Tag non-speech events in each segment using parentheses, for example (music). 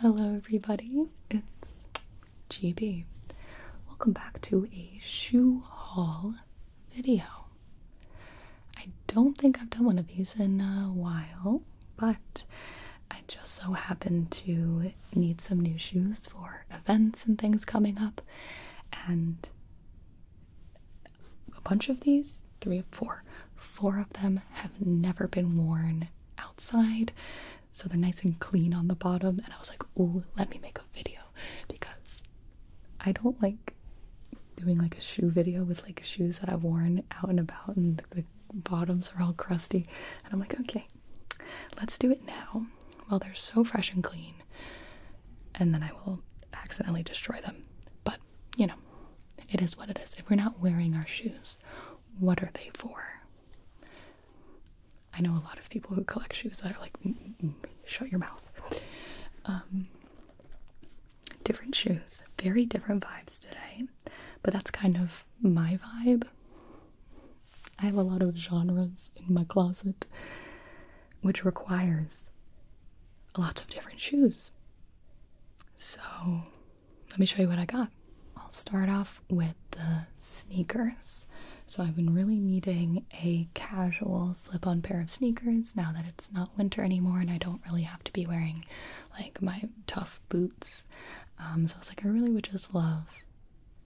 Hello, everybody. It's GB. Welcome back to a shoe haul video. I don't think I've done one of these in a while, but I just so happened to need some new shoes for events and things coming up, and a bunch of these, three or four, Four of them have never been worn outside, so they're nice and clean on the bottom. And I was like, ooh, let me make a video because I don't like doing like a shoe video with like shoes that I've worn out and about and the, the bottoms are all crusty. And I'm like, okay, let's do it now while they're so fresh and clean. And then I will accidentally destroy them. But, you know, it is what it is. If we're not wearing our shoes, what are they for? I know a lot of people who collect shoes that are like, mm, mm, mm, shut your mouth. Um, different shoes, very different vibes today, but that's kind of my vibe. I have a lot of genres in my closet, which requires lots of different shoes. So let me show you what I got. I'll start off with the sneakers. So I've been really needing a casual slip-on pair of sneakers now that it's not winter anymore and I don't really have to be wearing like my tough boots. Um, so I was like, I really would just love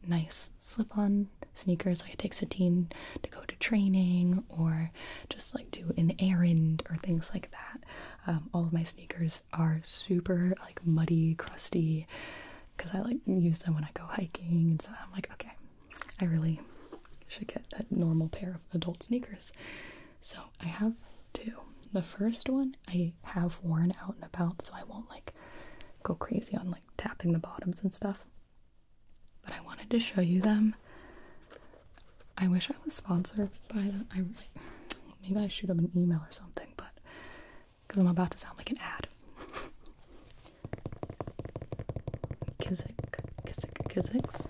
nice slip-on sneakers. Like I take Satine to go to training or just like do an errand or things like that. Um, all of my sneakers are super like muddy, crusty because I like use them when I go hiking and so I'm like, okay, I really should get a normal pair of adult sneakers. So I have two. The first one I have worn out and about so I won't like go crazy on like tapping the bottoms and stuff. But I wanted to show you them. I wish I was sponsored by them. I Maybe I shoot up an email or something, but because I'm about to sound like an ad. Kizik, Kizik, Kiziks.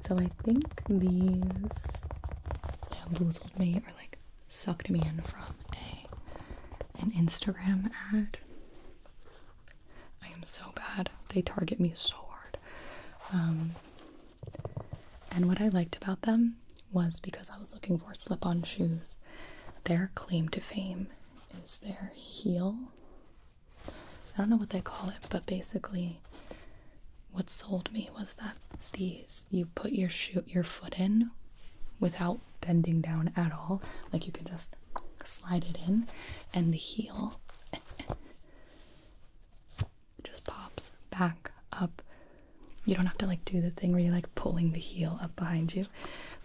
So I think these bamboozled me or like sucked me in from a an Instagram ad. I am so bad. They target me so hard. Um, and what I liked about them was because I was looking for slip on shoes, their claim to fame is their heel. I don't know what they call it, but basically, what sold me was that these you put your shoe your foot in without bending down at all, like you can just slide it in, and the heel (laughs) just pops back up. You don't have to like do the thing where you're like pulling the heel up behind you.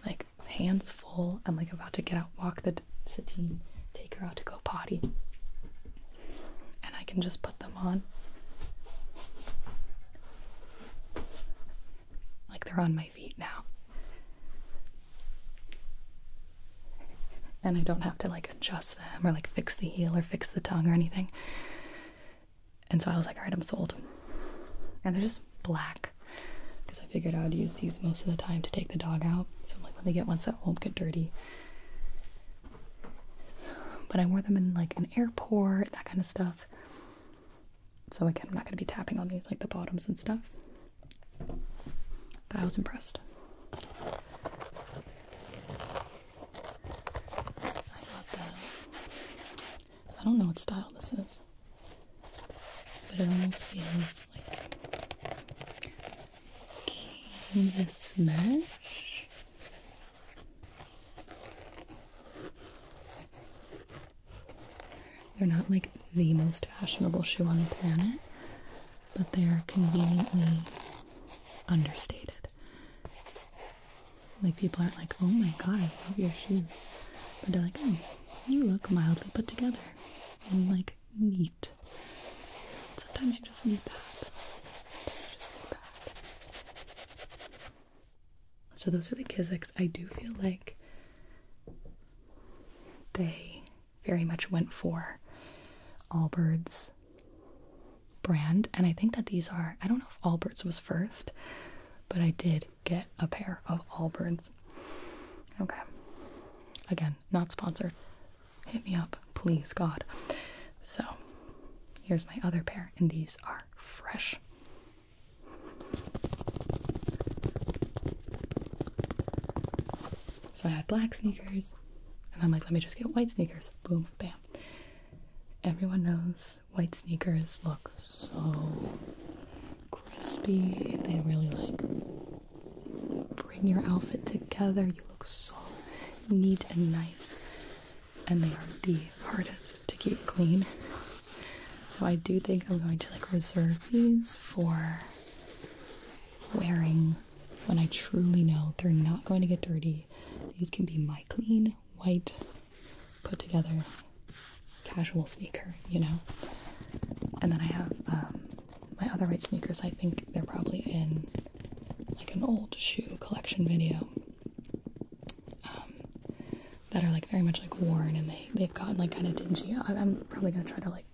Like hands full, I'm like about to get out, walk the settee, take her out to go potty. And I can just put them on. Like they're on my feet now. And I don't have to like adjust them or like fix the heel or fix the tongue or anything. And so I was like, all right, I'm sold. And they're just black because I figured I would use these most of the time to take the dog out. So I'm like, let me get ones that won't get dirty. But I wore them in like an airport, that kind of stuff. So again, I'm not going to be tapping on these like the bottoms and stuff. But I was impressed. I got that. I don't know what style this is, but it almost feels like canvas mesh. They're not like the most fashionable shoe on the planet, but they're conveniently understated. Like people aren't like, oh my god, I love your shoes. But they're like, oh, you look mildly put together and like neat. Sometimes you just need that. Sometimes you just need that. So those are the Kizik's. I do feel like they very much went for all birds brand, and I think that these are, I don't know if Alberts was first, but I did get a pair of Alberts. Okay. Again, not sponsored. Hit me up, please, God. So, here's my other pair, and these are fresh. So I had black sneakers, and I'm like, let me just get white sneakers. Boom, bam. Everyone knows white sneakers look so crispy. They really like bring your outfit together. You look so neat and nice. And they are the hardest to keep clean. So I do think I'm going to like reserve these for wearing when I truly know they're not going to get dirty. These can be my clean white, put together, casual sneaker, you know? And then I have um, my other white sneakers, I think they're probably in like an old shoe collection video. Um, that are like very much like worn and they, they've gotten like kind of dingy. I, I'm probably gonna try to like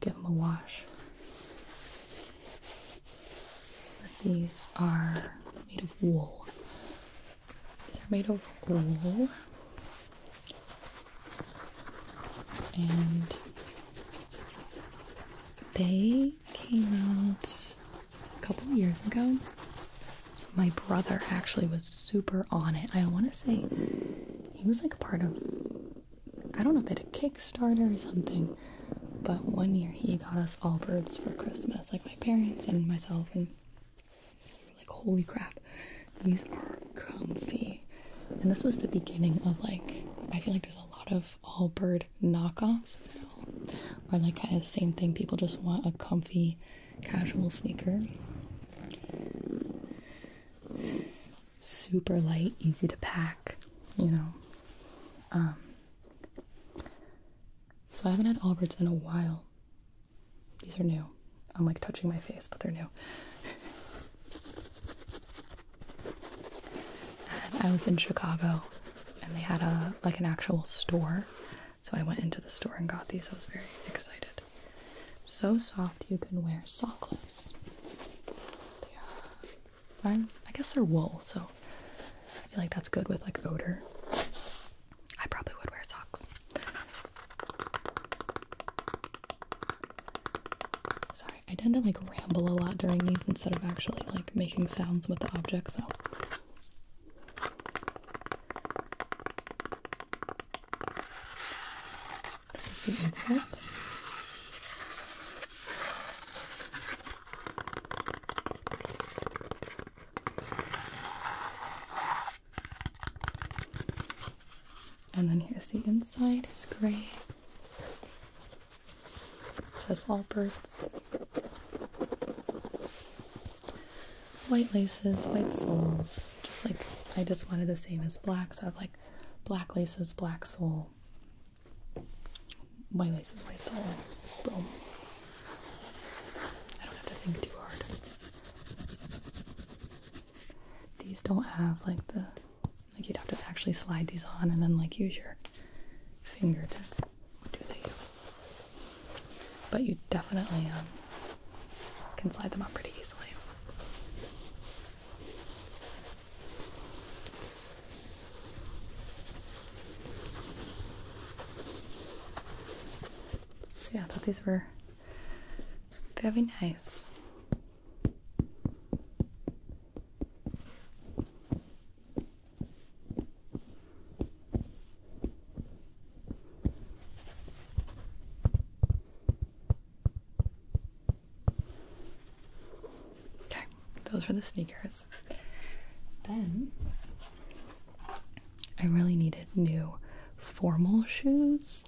give them a wash. But these are made of wool, these are made of wool and they came out a couple years ago. My brother actually was super on it. I want to say he was like a part of, I don't know if they did a Kickstarter or something, but one year he got us all birds for Christmas my parents and myself, and like, holy crap, these are comfy. And this was the beginning of like, I feel like there's a lot of all bird knockoffs now, or like the same thing. People just want a comfy, casual sneaker. Super light, easy to pack, you know. Um, so I haven't had Alberts in a while. These are new. I'm like touching my face, but they're new. I was in Chicago and they had a like an actual store. So I went into the store and got these. I was very excited. So soft you can wear sockless. They I guess they're wool, so I feel like that's good with like odor. I probably would wear socks. Sorry, I tend to like ramble a lot during these instead of actually like making sounds with the object, so. This is the insert. And then here's the inside, it's gray. It says Allbirds. White laces, white soles. Just like I just wanted the same as black, so I have like black laces, black sole. White laces, white sole. Boom. I don't have to think too hard. These don't have like the like you'd have to actually slide these on and then like use your finger to do the But you definitely um, can slide them up pretty easily. So yeah, I thought these were very nice. Okay, those were the sneakers. Then I really needed new formal shoes.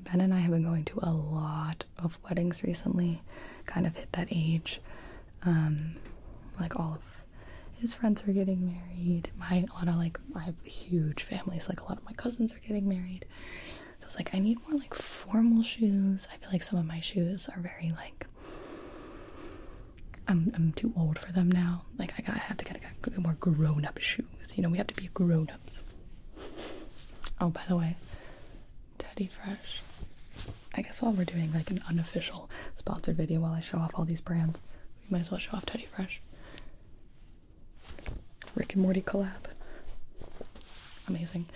Ben and I have been going to a lot of weddings recently, kind of hit that age. Um, like all of his friends are getting married. My a lot of like I have huge families, like a lot of my cousins are getting married. So it's like I need more like formal shoes. I feel like some of my shoes are very like I'm too old for them now. Like I got I have to get more grown up shoes. You know we have to be grown ups. Oh by the way, Teddy Fresh. I guess while we're doing like an unofficial sponsored video while I show off all these brands, we might as well show off Teddy Fresh. Rick and Morty collab. Amazing.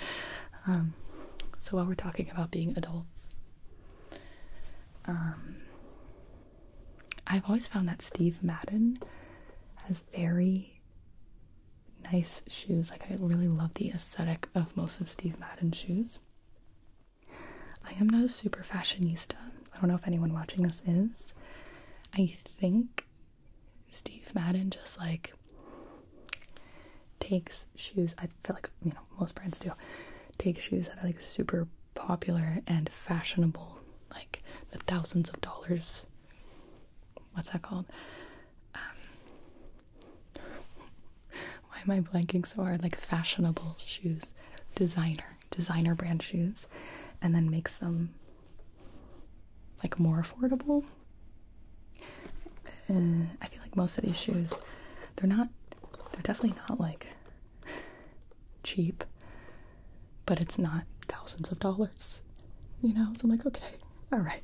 Um, so while we're talking about being adults, um, I've always found that Steve Madden has very nice shoes. Like, I really love the aesthetic of most of Steve Madden's shoes. I am not a super fashionista. I don't know if anyone watching this is. I think Steve Madden just like takes shoes. I feel like you know most brands do take shoes that are like super popular and fashionable, like the thousands of dollars. What's that called? Um, (laughs) why am I blanking so hard? Like fashionable shoes, designer, designer brand shoes, and then makes them like more affordable. Uh, I feel like most of these shoes they're not, they're definitely not like cheap, but it's not thousands of dollars, you know? So I'm like, okay, all right,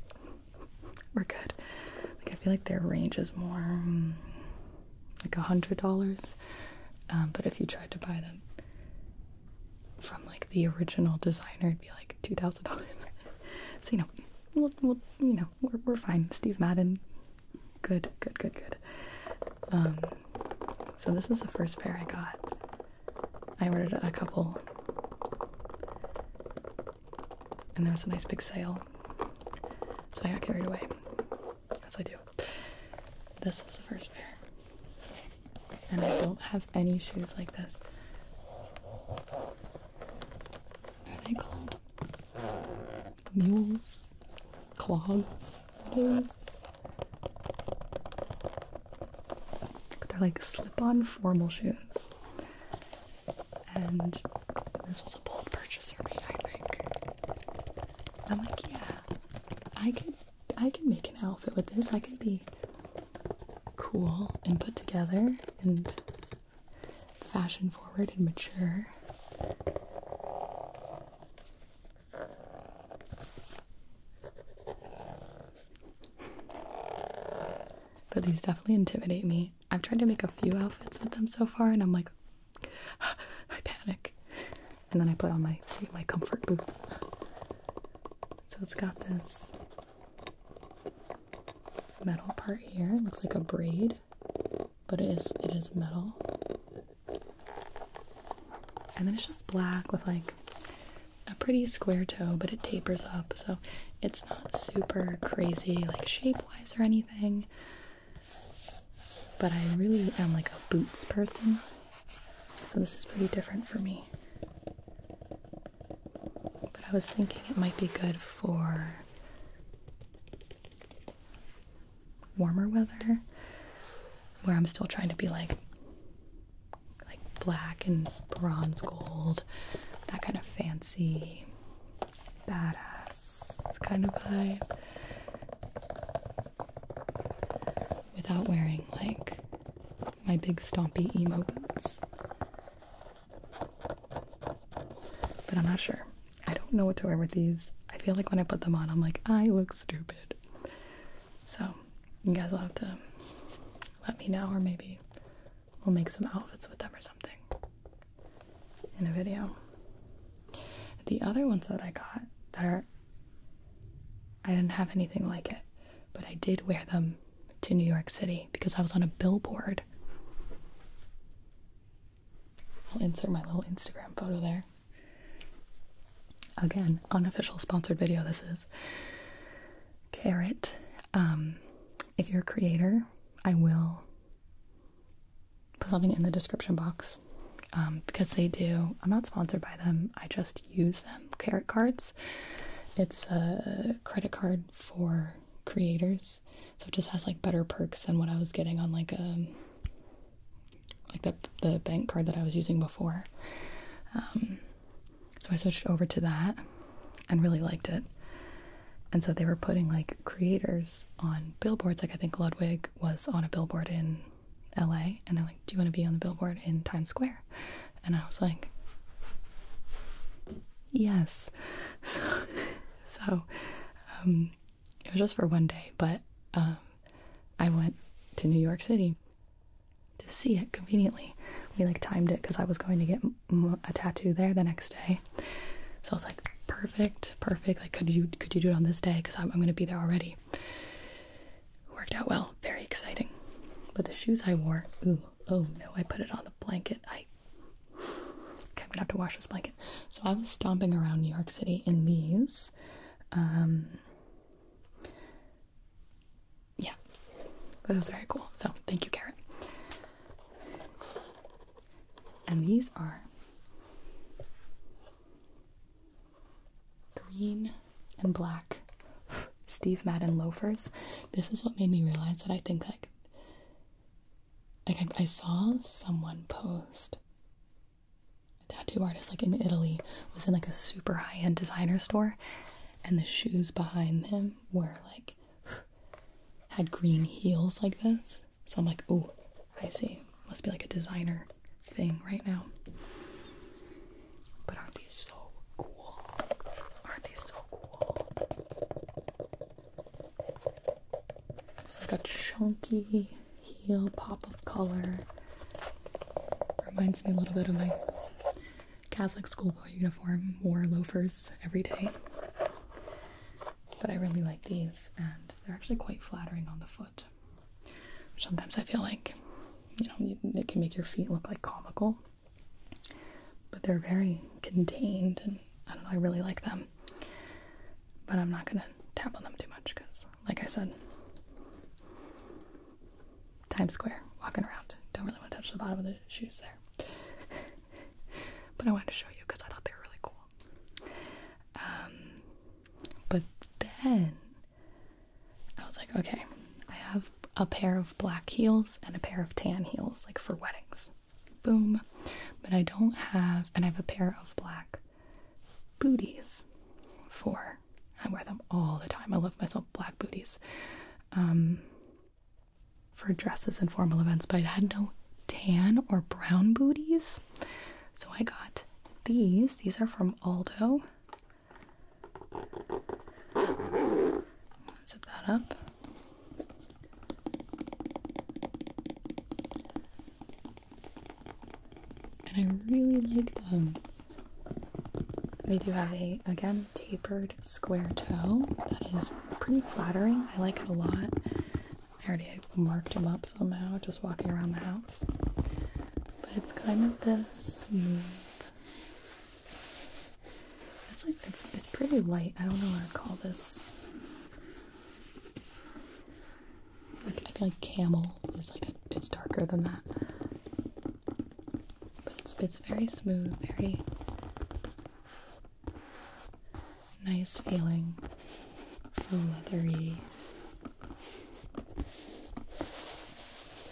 we're good. Like, I feel like their range is more mm, like a hundred dollars. Um, but if you tried to buy them from like the original designer, it'd be like two thousand dollars. (laughs) so, you know, we'll, you know, we're, we're fine. Steve Madden Good, good, good, good. Um, so this is the first pair I got. I ordered a couple, and there was a nice big sale, so I got carried away, as I do. This was the first pair, and I don't have any shoes like this. Are they mules, clogs, things. But they're like slip-on formal shoes. And this was a bold purchase for me, I think. I'm like, yeah, I could I could make an outfit with this. I could be cool and put together and fashion forward and mature. But these definitely intimidate me. I've tried to make a few outfits with them so far, and I'm like, (sighs) I panic. And then I put on my see my comfort boots. So it's got this metal part here. It looks like a braid but it is it is metal. And then it's just black with like a pretty square toe, but it tapers up, so it's not super crazy like shape-wise or anything. But I really am like a boots person. So this is pretty different for me. But I was thinking it might be good for warmer weather where I'm still trying to be like like black and bronze gold, that kind of fancy badass kind of vibe without wearing like my big stompy emo boots. But I'm not sure. I don't know what to wear with these. I feel like when I put them on, I'm like, I look stupid. So, you guys will have to let me know, or maybe we'll make some outfits with them or something in a video. The other ones that I got that are, I didn't have anything like it, but I did wear them to New York City because I was on a billboard. I'll insert my little Instagram photo there. Again, unofficial sponsored video this is. Carrot. Um, if you're a creator, I will put something in the description box um, because they do. I'm not sponsored by them, I just use them. Carrot cards. It's a credit card for creators so it just has like better perks than what I was getting on like a um, like the the bank card that I was using before. Um, so I switched over to that and really liked it. And so they were putting like creators on billboards. Like I think Ludwig was on a billboard in LA and they're like, Do you want to be on the billboard in Times Square? And I was like, Yes. (laughs) So, um, it was just for one day, but um, I went to New York City to see it conveniently. We like timed it because I was going to get a tattoo there the next day, so I was like, perfect, perfect. Like, could you could you do it on this day? Because I'm, I'm going to be there already. Worked out well, very exciting. But the shoes I wore, ooh, oh no, I put it on the blanket. I I'm gonna have to wash this blanket. So I was stomping around New York City in these. Um, yeah, that was very cool. So thank you, Carrot. And these are green and black Steve Madden loafers. This is what made me realize that I think like like I, saw someone post a tattoo artist like in Italy was in like a super high-end designer store and the shoes behind them were like had green heels like this so I'm like oh I see must be like a designer thing right now but aren't these so cool aren't they so cool it's like a chunky heel pop of color. Reminds me a little bit of my Catholic schoolgirl uniform, wore loafers every day. But I really like these, and they're actually quite flattering on the foot. Sometimes I feel like, you know, it can make your feet look like comical, but they're very contained, and I really like them. But I'm not gonna tap on them too much because, like I said, Times Square, walking around. Don't really want to touch the bottom of the shoes there. (laughs) but I wanted to show you because I thought they were really cool. Um, but then I was like, okay, I have a pair of black heels and a pair of tan heels, like for weddings. Boom. But I don't have, and I have a pair of black booties for. I wear them all the time. I love myself black booties. Um, for dresses and formal events, but I had no tan or brown booties. So I got these. These are from Aldo. Zip that up and I really like them. They do have a, again, tapered square toe that is pretty flattering. I like it a lot. I already marked them up somehow just walking around the house. But it's kind of this It's like, it's, it's pretty light. I don't know what to call this. I feel like camel is like it's darker than that, but it's it's very smooth, very nice feeling, full leathery,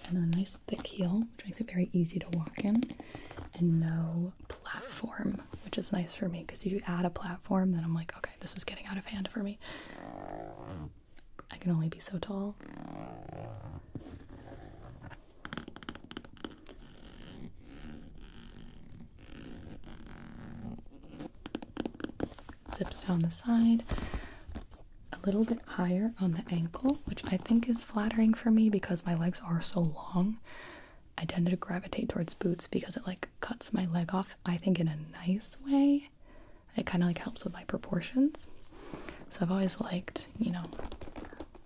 and a nice thick heel, which makes it very easy to walk in, and no platform, which is nice for me because if you add a platform, then I'm like okay this is getting out of hand for me. I can only be so tall. Zips down the side, a little bit higher on the ankle, which I think is flattering for me because my legs are so long. I tend to gravitate towards boots because it like cuts my leg off, I think, in a nice way. It kind of like helps with my proportions. So I've always liked, you know,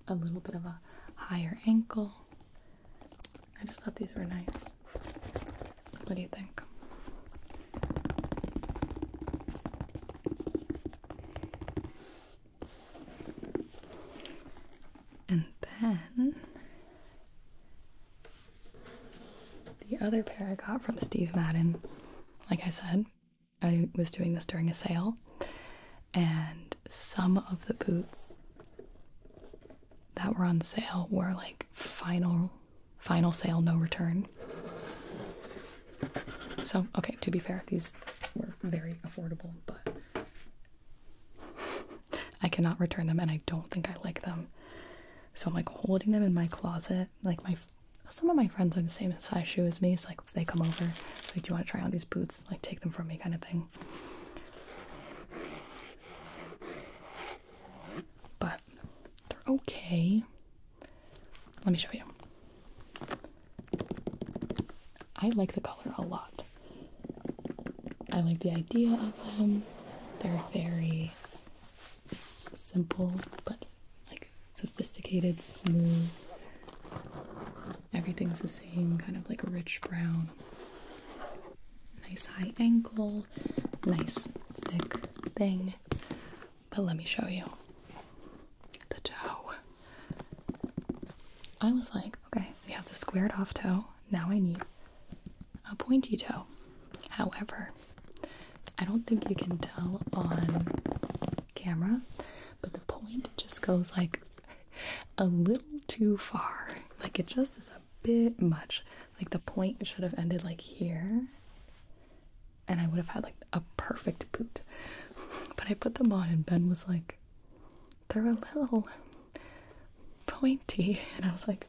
a little bit of a higher ankle. I just thought these were nice. What do you think? And then the other pair I got from Steve Madden, like I said, I was doing this during a sale, and some of the boots that were on sale were like final final sale no return. So, okay, to be fair, these were very affordable, but (laughs) I cannot return them and I don't think I like them so I'm like holding them in my closet. Like my some of my friends are the same size shoe as me. so like they come over, like do you want to try on these boots? Like take them from me, kind of thing. But they're okay. Let me show you. I like the color a lot. I like the idea of them. They're very simple but like sophisticated, smooth. Everything's the same, kind of like rich brown. Nice high ankle, nice thick thing. But let me show you the toe. I was like, okay, we have the squared off toe. Now I need a pointy toe. However, I don't think you can tell on camera, but the point just goes like a little too far. Like it just is a bit much. Like the point should have ended like here, and I would have had like a perfect boot. (laughs) But I put them on, and Ben was like, they're a little pointy. And I was like,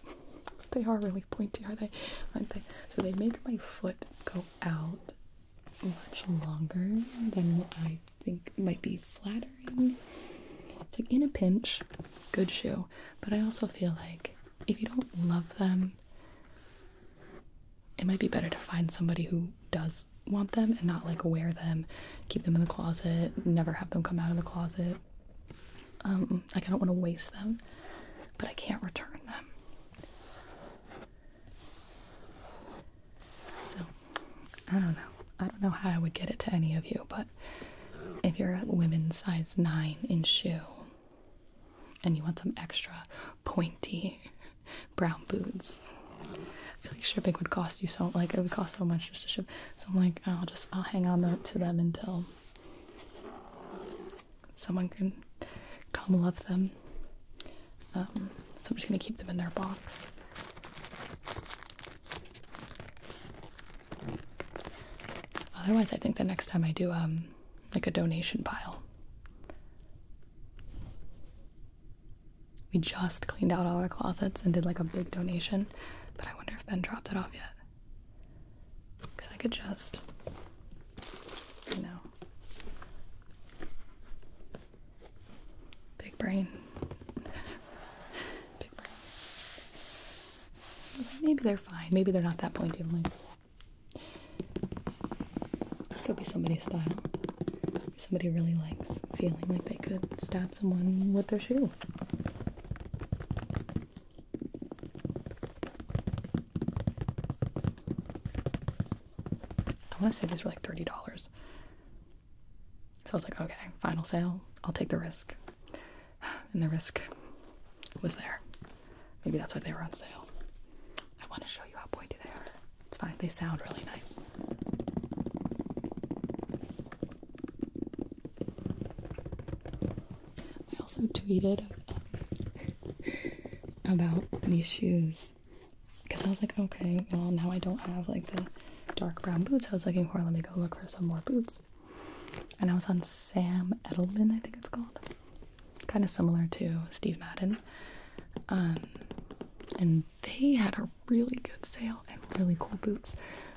they are really pointy, are they? Aren't they? So they make my foot go out much longer than I think might be flattering. It's like in a pinch, good shoe. But I also feel like if you don't love them, it might be better to find somebody who does want them and not like wear them, keep them in the closet, never have them come out of the closet, um, like I don't want to waste them, but I can't return them. So, I don't know. I don't know how I would get it to any of you, but if you're a women's size 9 in shoe and you want some extra pointy (laughs) brown boots, I feel like shipping would cost you so like it would cost so much just to ship. So I'm like, I'll just I'll hang on to them until someone can come love them. Um, so I'm just going to keep them in their box. Otherwise, I think the next time I do um, like a donation pile. We just cleaned out all our closets and did like a big donation, but I wonder if Ben dropped it off yet. Because I could just, you know, big brain. (laughs) big brain. maybe they're fine. Maybe they're not that pointy. i could be somebody's style. Somebody really likes feeling like they could stab someone with their shoe. I want to say these were like $30. So I was like, okay, final sale. I'll take the risk. And the risk was there. Maybe that's why they were on sale. I want to show you how pointy they are. It's fine, they sound really nice. I also tweeted um, about these shoes because I was like, okay, well, now I don't have like the dark brown boots I was looking for. Let me go look for some more boots. And I was on Sam Edelman, I think it's called. Kind of similar to Steve Madden. Um, and they had a really good sale and really cool boots,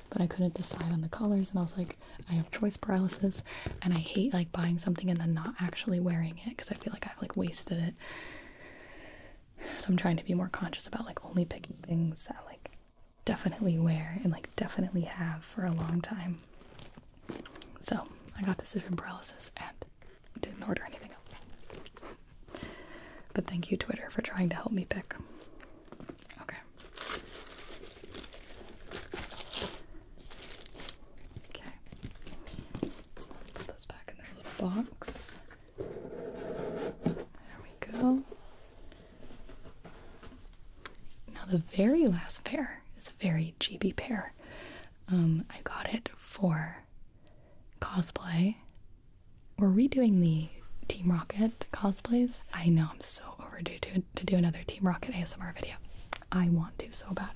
but I couldn't decide on the colors. And I was like, I have choice paralysis, and I hate like buying something and then not actually wearing it because I feel like I've like wasted it. So I'm trying to be more conscious about like only picking things that like definitely wear and like definitely have for a long time. So I got this decision paralysis and didn't order anything else. but thank you, Twitter, for trying to help me pick. Okay. Okay. put those back in their little box. There we go. Now the very last pair is a very GB pair. Um, I got it for cosplay. We're redoing the Team Rocket cosplays. I know I'm so overdue to to do another Team Rocket ASMR video. I want to so bad.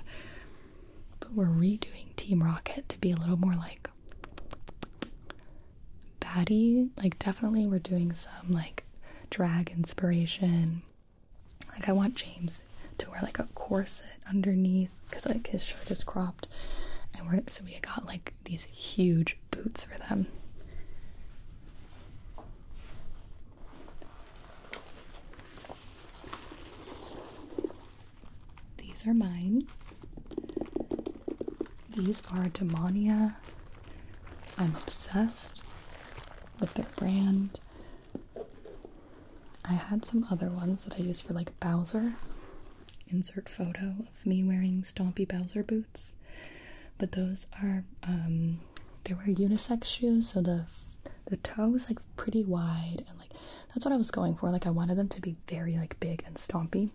But we're redoing Team Rocket to be a little more like baddie. Like, definitely, we're doing some like drag inspiration. Like, I want James to wear like a corset underneath because like his shirt is cropped, and we're so we got like these huge boots for them. These are mine. These are Demonia. I'm obsessed with their brand. I had some other ones that I used for like Bowser. Insert photo of me wearing stompy Bowser boots but those are um they were unisex shoes so the the toe was like pretty wide and like that's what I was going for like I wanted them to be very like big and stompy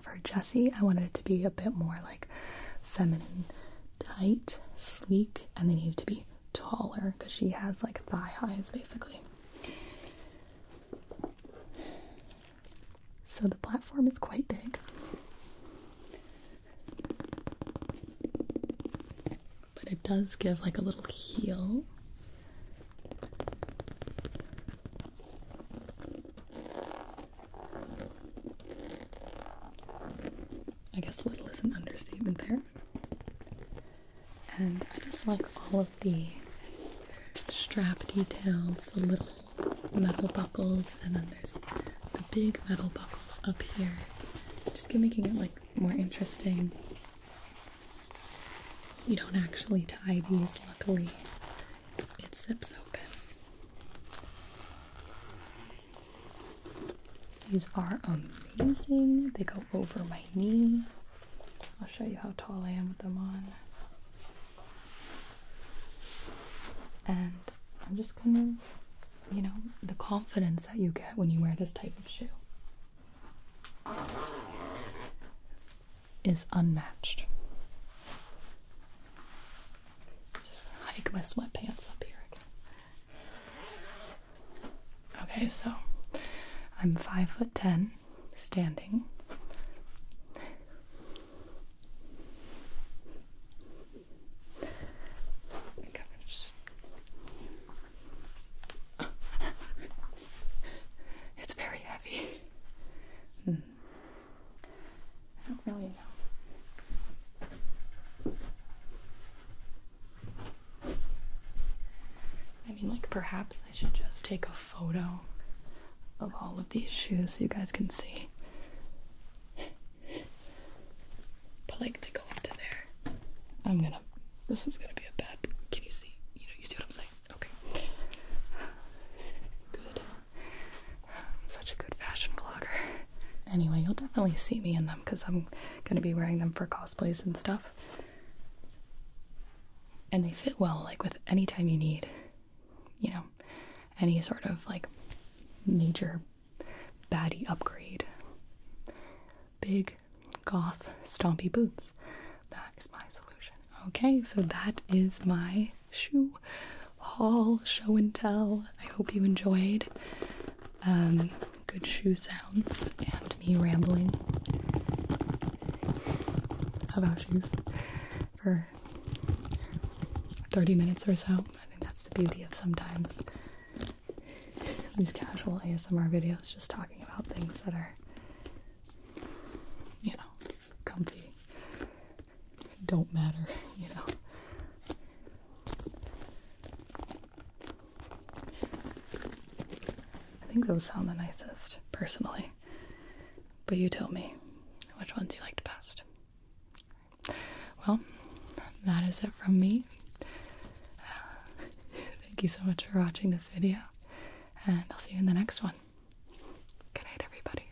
for Jessie I wanted it to be a bit more like feminine tight sleek and they needed to be taller because she has like thigh highs basically so the platform is quite big but it does give like a little heel. I guess little is an understatement there. And I just like all of the strap details, the little metal buckles, and then there's the big metal buckles up here. Just making it like more interesting. You don't actually tie these, luckily. It zips open. These are amazing. They go over my knee. I'll show you how tall I am with them on. And I'm just gonna you know, the confidence that you get when you wear this type of shoe is unmatched. Just hike my sweatpants up here, I guess. Okay, so I'm five foot ten, standing. I (laughs) it's very heavy. Hmm. I don't really know. I mean, like, perhaps I should just take a photo of all of these shoes so you guys can see. But like they go up to there. I'm gonna. This is gonna be a bad. Can you see? You know, you see what I'm saying? Okay. Good. such a good fashion vlogger. Anyway, you'll definitely see me in them because I'm gonna be wearing them for cosplays and stuff. And they fit well, like with any time you need, you know, any sort of like major baddie upgrade. Big goth stompy boots. That is my solution. Okay, so that is my shoe haul, show and tell. I hope you enjoyed. Um, good shoe sounds and me rambling about shoes for 30 minutes or so. I think that's the beauty of sometimes these casual ASMR videos just talking about things that are, you know, comfy, don't matter, you know. I think those sound the nicest, personally. But you tell me which ones you liked best. Well, that is it from me. thank you so much for watching this video, and I'll see you in the next one. Good night, everybody.